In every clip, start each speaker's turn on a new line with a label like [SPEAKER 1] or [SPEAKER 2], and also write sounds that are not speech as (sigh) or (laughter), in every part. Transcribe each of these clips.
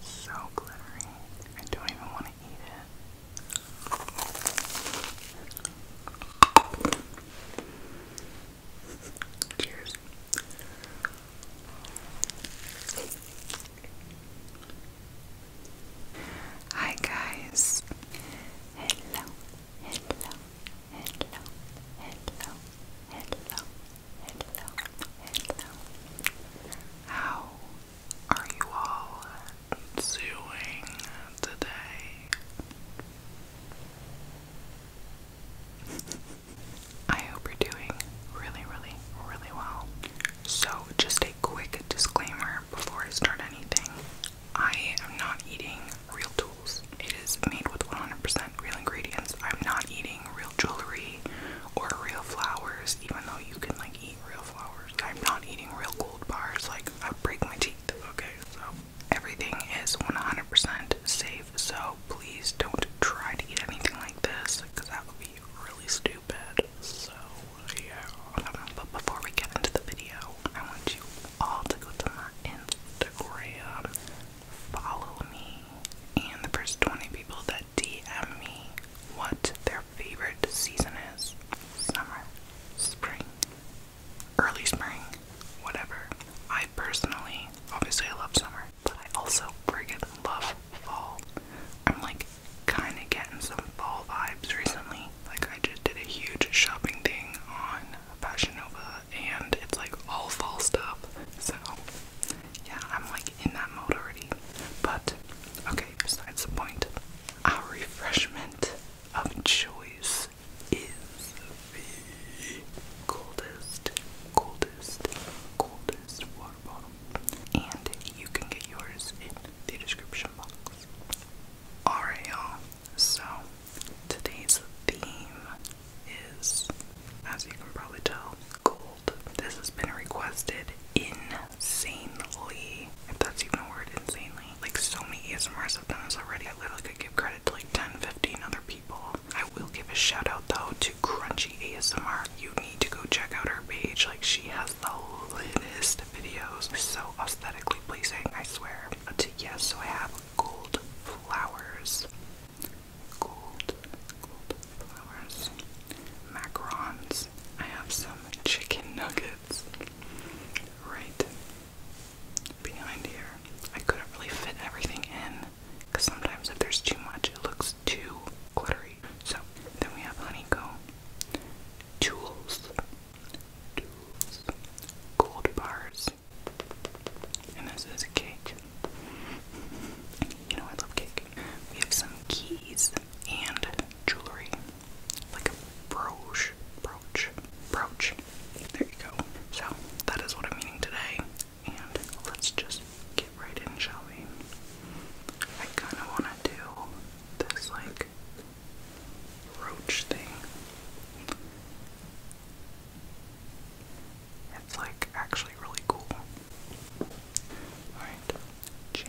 [SPEAKER 1] So glittery. I don't even want to eat it. Cheers. Hi guys. Hello. Hello. Hello. Hello. Hello. Hello, hello. How are you all doing today? I hope you're doing really, really, really well. So, just a quick disclaimer before I start anything I am not eating real tools. It is made with 100% real ingredients. I'm not eating real jewelry or real flowers, even though you can like eat real flowers. I'm not eating real gold bars, like I break my teeth. Okay, so everything is 100% safe, so please don't try to eat anything like this because that would be really stupid. So, yeah. but before we get into the video, I want you all to go to my Instagram follow me and the first 20 people that DM me what their favorite season is summer, spring, early spring, whatever. I personally, obviously, I love summer, but I also friggin' love fall. I'm like kind of getting some fall vibes recently. Like, I just did a huge shopping thing on Fashion Nova, and it's like all fall stuff. So, yeah, I'm like in that mode already. But okay, besides the point, our refreshment of choice is the coldest, coldest, coldest water bottle. And you can get yours in the description box. Alright y'all, so today's theme is, as you can probably tell, gold. This has been requested insanely, if that's even a word, insanely. Like so many ASMRs have done this already. I literally could give credit to like 10, 15 other people. I will give a shout out though to Crunchy ASMR. You need to go check out her page. Like she has the list of videos. So aesthetically pleasing, I swear. But yes, so I have gold flowers gold, gold flowers, macarons. I have some chicken nuggets right behind here. I couldn't really fit everything in because sometimes if there's too much, it looks too glittery. So then we have honeycomb, tools, tools, gold bars. And this is a cake. You know I love cake. We have some keys and jewelry. Like a brooch. Brooch. Brooch. There you go. So that is what I'm eating today. And let's just get right in, shall we? I kinda wanna do this like roach thing. It's like actually really cool. Alright, cheers.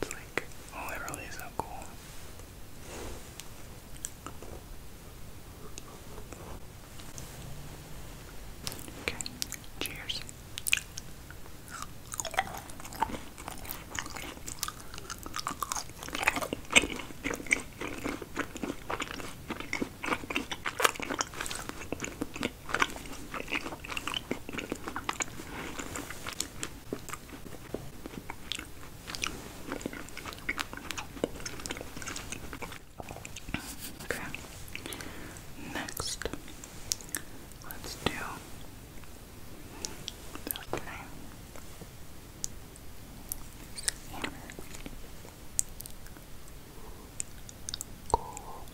[SPEAKER 1] It's like literally oh, so cool. Okay, cheers. Okay. Next, let's do this guy. Cool.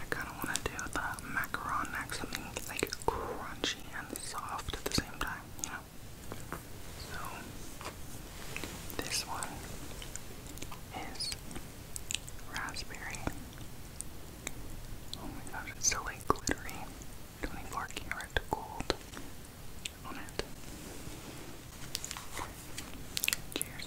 [SPEAKER 1] I kind of want to do the macaron next, something like crunchy and soft at the same time, you know? So, this one is raspberry. Oh my gosh, it's so like glittery. 24 karat gold Cheers.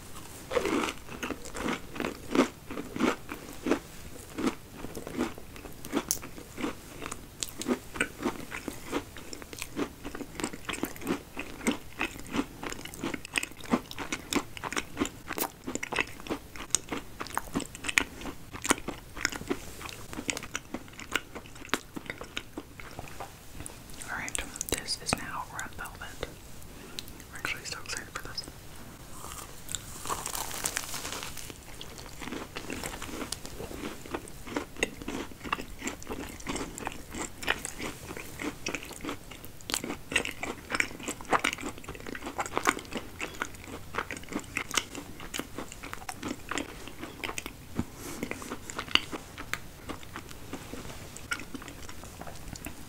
[SPEAKER 1] Alright, this is now red velvet. I'm actually still excited for this.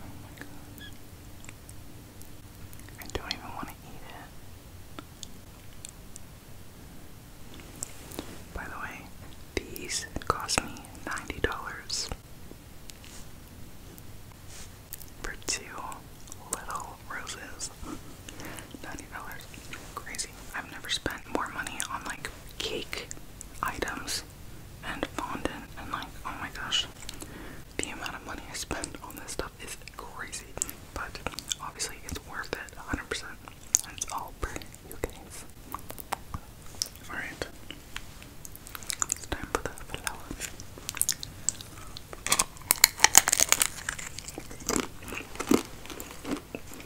[SPEAKER 1] Oh I don't even want to eat it. By the way, these cost me $90 for two little roses. (laughs) $90. Crazy. I've never spent more money on like cake items and fondant and like oh my gosh the amount of money I spend on this stuff is crazy but obviously it's worth it 100% and it's all for you guys alright time for the flower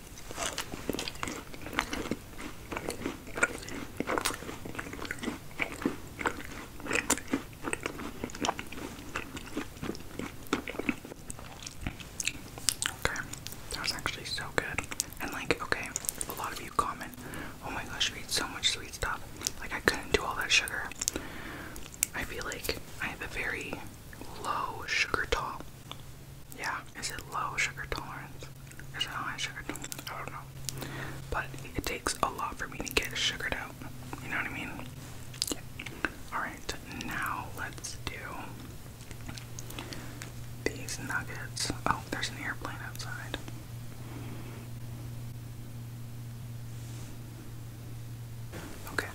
[SPEAKER 1] Okay, that was actually so good. And, like, okay, a lot of you comment, oh my gosh, we eat so much sweet stuff. Like, I couldn't do all that sugar. I feel like I have a very low sugar tolerance. Yeah, is it low sugar tolerance? Is it high sugar tolerance? I don't know. But it takes a lot for me to get sugared out. You know what I mean? Alright, now let's do these nuggets. Oh, there's an airplane outside. Okay,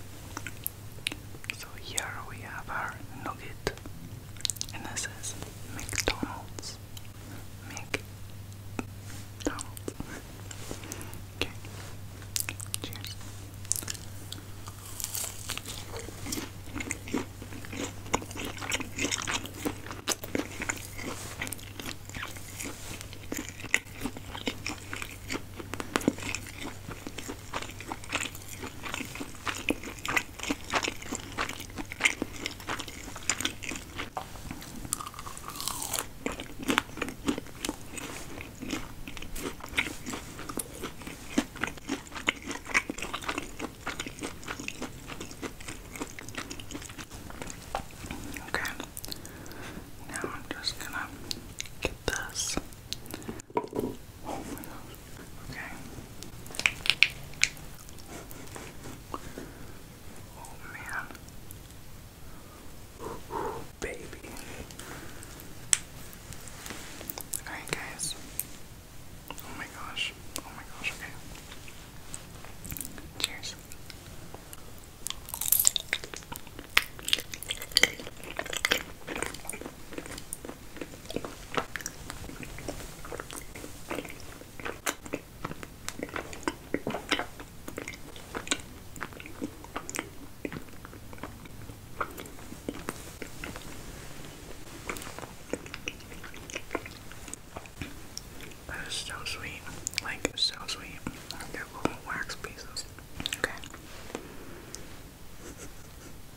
[SPEAKER 1] so here we have our nugget, and this is McDonald's. McDonald's. Okay. Cheers. Okay, now I'm just gonna get this. Oh my gosh. Okay. Oh man. Baby. Alright, guys. Oh my gosh. Oh my gosh, Cheers. That is so sweet. Like, so sweet. They're wax pieces. Okay.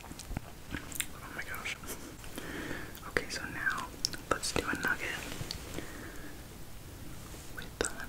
[SPEAKER 1] Oh my gosh. Okay, so now let's do a nugget with the honey.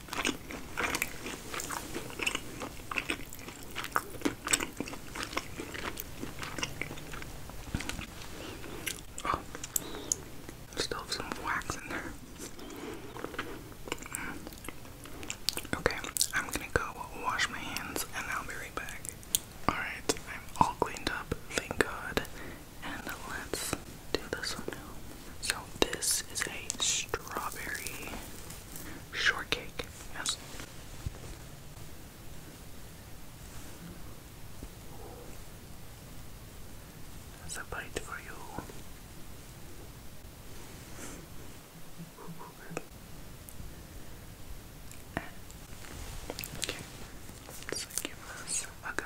[SPEAKER 1] Oh, still have some wax in there. Mm. Okay, I'm gonna go wash my hands and I'll be right back. Alright, I'm all cleaned up, thank God. And let's do this one So, this is a strawberry shortcake. Yes. That's a bite for you. Okay, let's a go.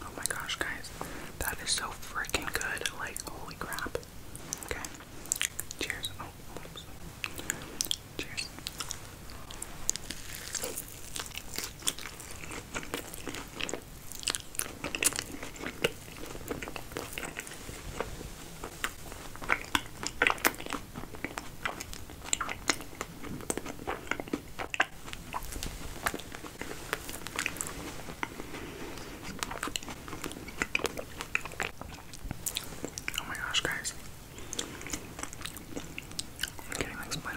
[SPEAKER 1] Oh my gosh, guys, that is so freaking good! Like, holy crap. Okay, cheers. Oh, Cheers. Oh my gosh, guys. I'm getting like split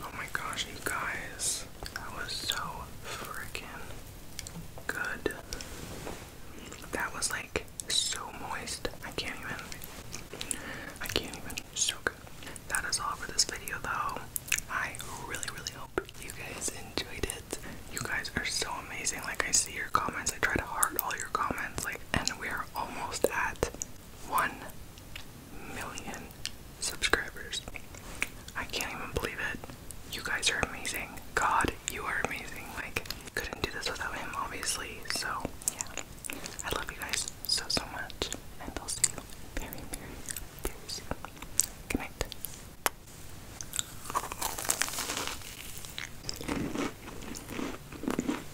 [SPEAKER 1] Oh my gosh, you guys. That was so freaking good. That was like so moist. I can't even. I can't even. So good. That is all for this video though. I really, really hope you guys enjoyed it. You guys are so amazing. Like, I see your comments. I try to heart all your comments. Like, and we are almost at 1 million subscribers. I can't even believe it. You guys are amazing. God, you are amazing. Like, couldn't do this without him, obviously. So, yeah. I love you guys so, so much. And I'll see you very, very, very soon. Good